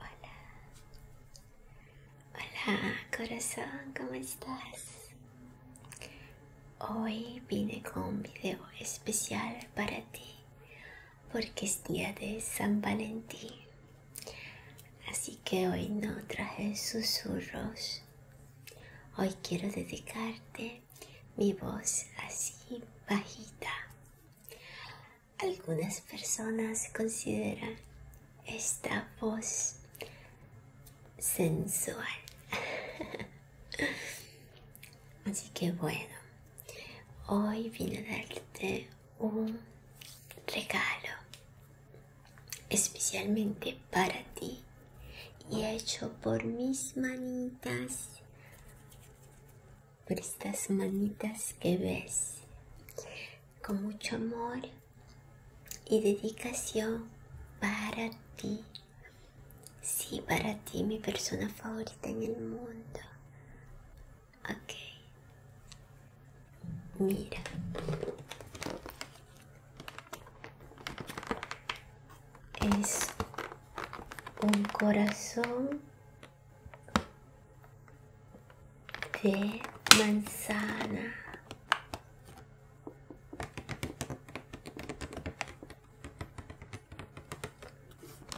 Hola, hola corazón, ¿cómo estás? Hoy vine con un video especial para ti porque es día de San Valentín. Así que hoy no traje susurros. Hoy quiero dedicarte mi voz así bajita algunas personas consideran esta voz sensual. Así que bueno, hoy vine a darte un regalo especialmente para ti y hecho por mis manitas por estas manitas que ves. Con mucho amor y dedicación para ti. Sí, para ti, mi persona favorita en el mundo. Ok. Mira. Es un corazón de manzana.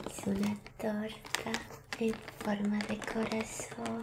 Es una torta en forma de corazón.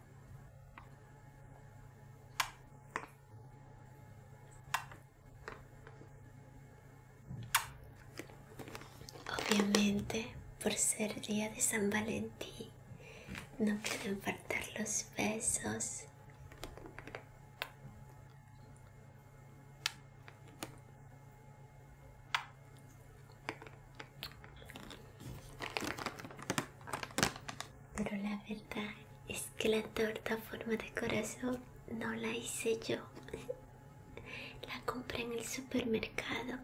Obviamente, por ser día de San Valentín, no pueden faltar los besos. Pero la verdad es que la torta forma de corazón no la hice yo. La compré en el supermercado.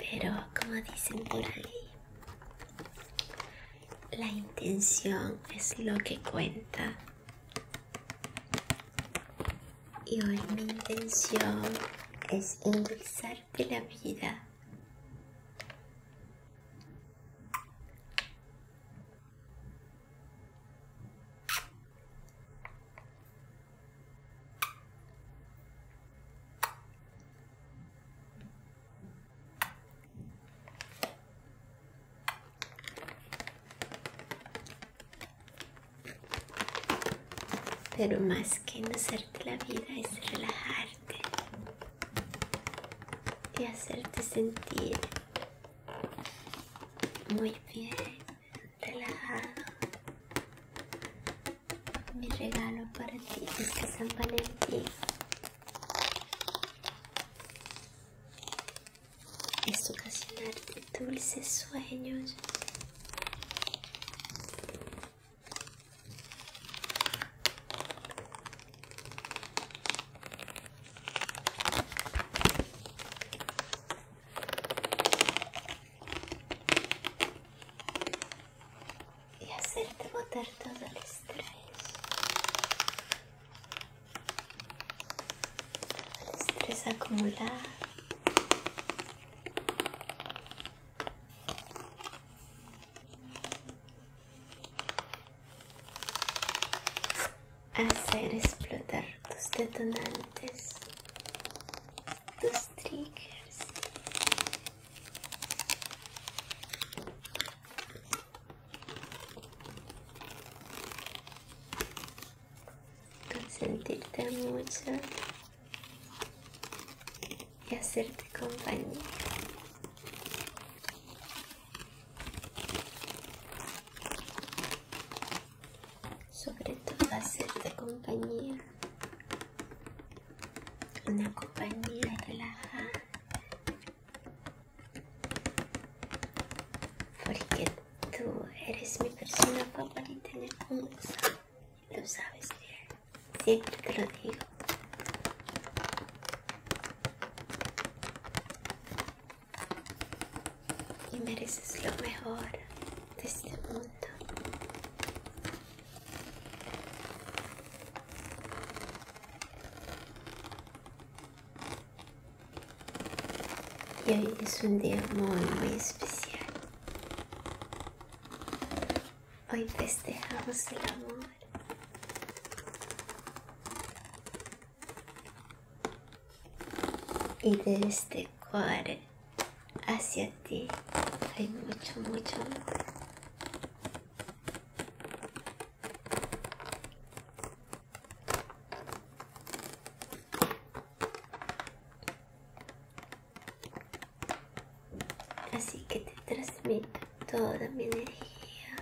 Pero como dicen por ahí, la intención es lo que cuenta y hoy mi intención es de la vida. Pero más que hacerte la vida es relajarte y hacerte sentir muy bien, relajado. Mi regalo para ti es que San ti es ocasionarte dulces sueños. Y hacerte botar todo el estrés. Todo el estrés acumulado hacer explotar tus detonantes, tus triggers consentirte mucho y hacerte compañía. Sobre todo hacerte compañía. Una compañía relajada. Porque Tú eres mi persona favorita en el mundo. Lo sabes bien. Siempre te lo digo. Y mereces lo mejor de este mundo. Y hoy es un día muy, muy especial. Hoy festejamos el amor. Y de este cuadro hacia ti hay mucho, mucho amor. Así que te transmito toda mi energía,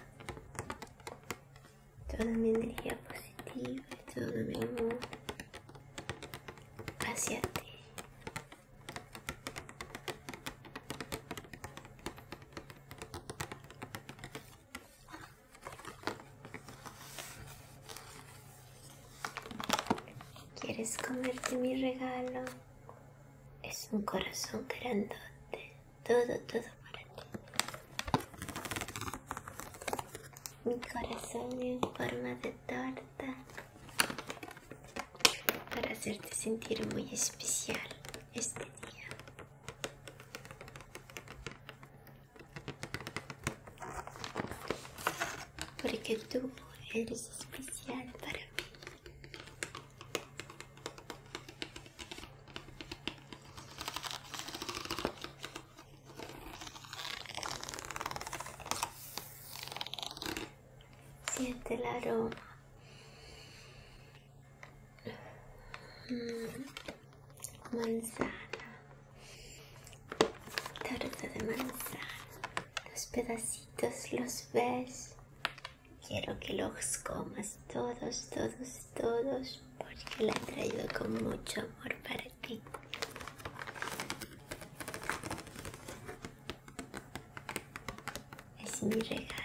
toda mi energía positiva y todo mi amor hacia ti. ¿Quieres comerte mi regalo? Es un corazón grandote, todo, todo para ti. Mi corazón en forma de torta para hacerte sentir muy especial este día porque tú eres especial para mí. Siente el aroma Mm. manzana, torta de manzana. Los pedacitos los ves. Quiero que los comas todos, todos, todos, porque la traigo con mucho amor para ti. Es mi regalo.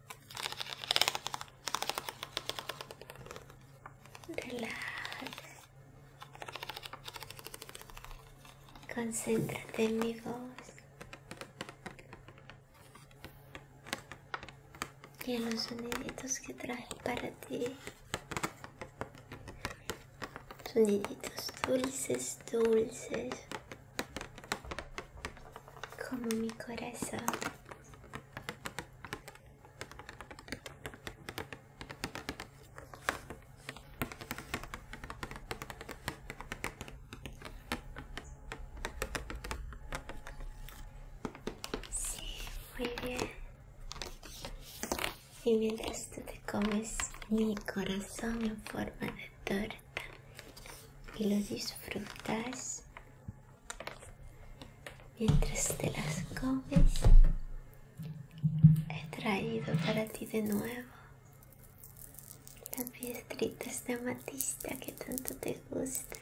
Relaja. Concéntrate en mi voz y los soniditos que traje para ti. Soniditos dulces, dulces, como mi corazón. Sí, muy bien. Y mientras tú te comes mi corazón en forma de torta y lo disfrutas, Mientras te las comes, he traído para ti de nuevo las piedritas de amatista que tanto te gustan.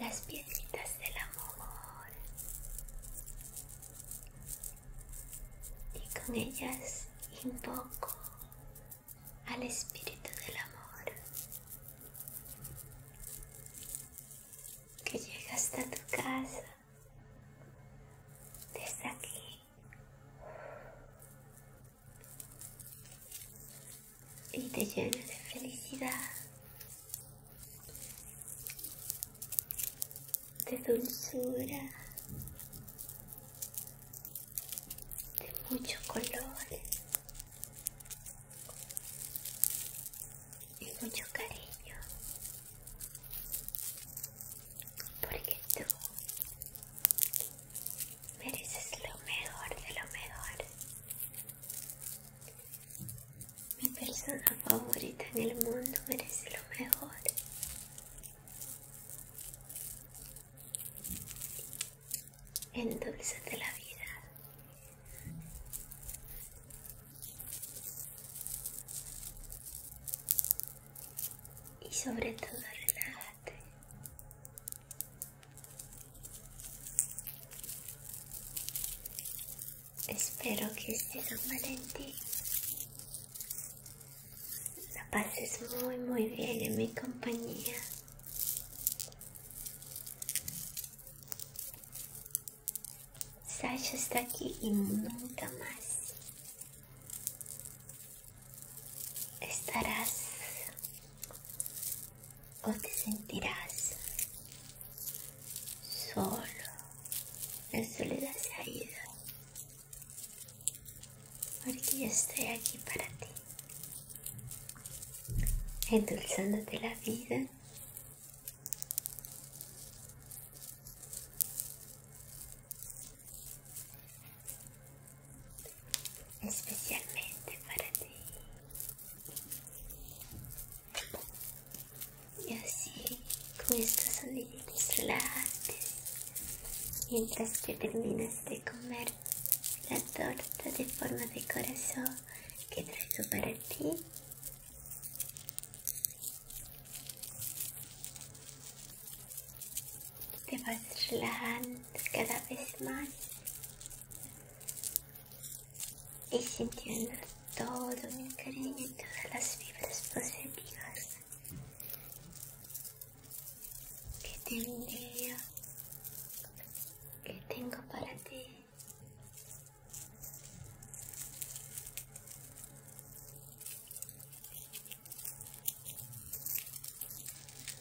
Las piedritas del amor. Y con ellas invoco al espíritu del amor que llega hasta tu casa desde aquí y te llena de felicidad, de dulzura, de mucho color y mucho cariño porque tú mereces lo mejor de lo mejor mi persona favorita en el mundo merece lo mejor endulzate de la vida. Y sobre todo relájate. Espero que sea en ti la pases muy muy bien en mi compañía Sasha está aquí y nunca más estarás o te sentirás solo. en soledad se porque yo estoy aquí para ti, endulzándote la vida. especialmente para ti. Y así, con estos soniditos relajantes, mientras que terminas de comer la torta de forma de corazón que traigo para ti. Te vas relajando cada vez más y sintiendo todo mi cariño y todas las fibras positivas que tendría que tengo para ti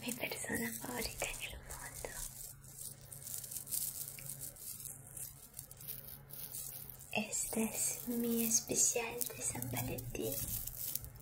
mi persona favorita en el mundo este es mi especial de San Valentín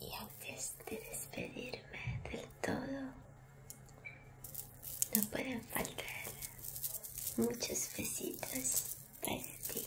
Y antes de despedirme del todo, no pueden faltar muchos besitos para ti.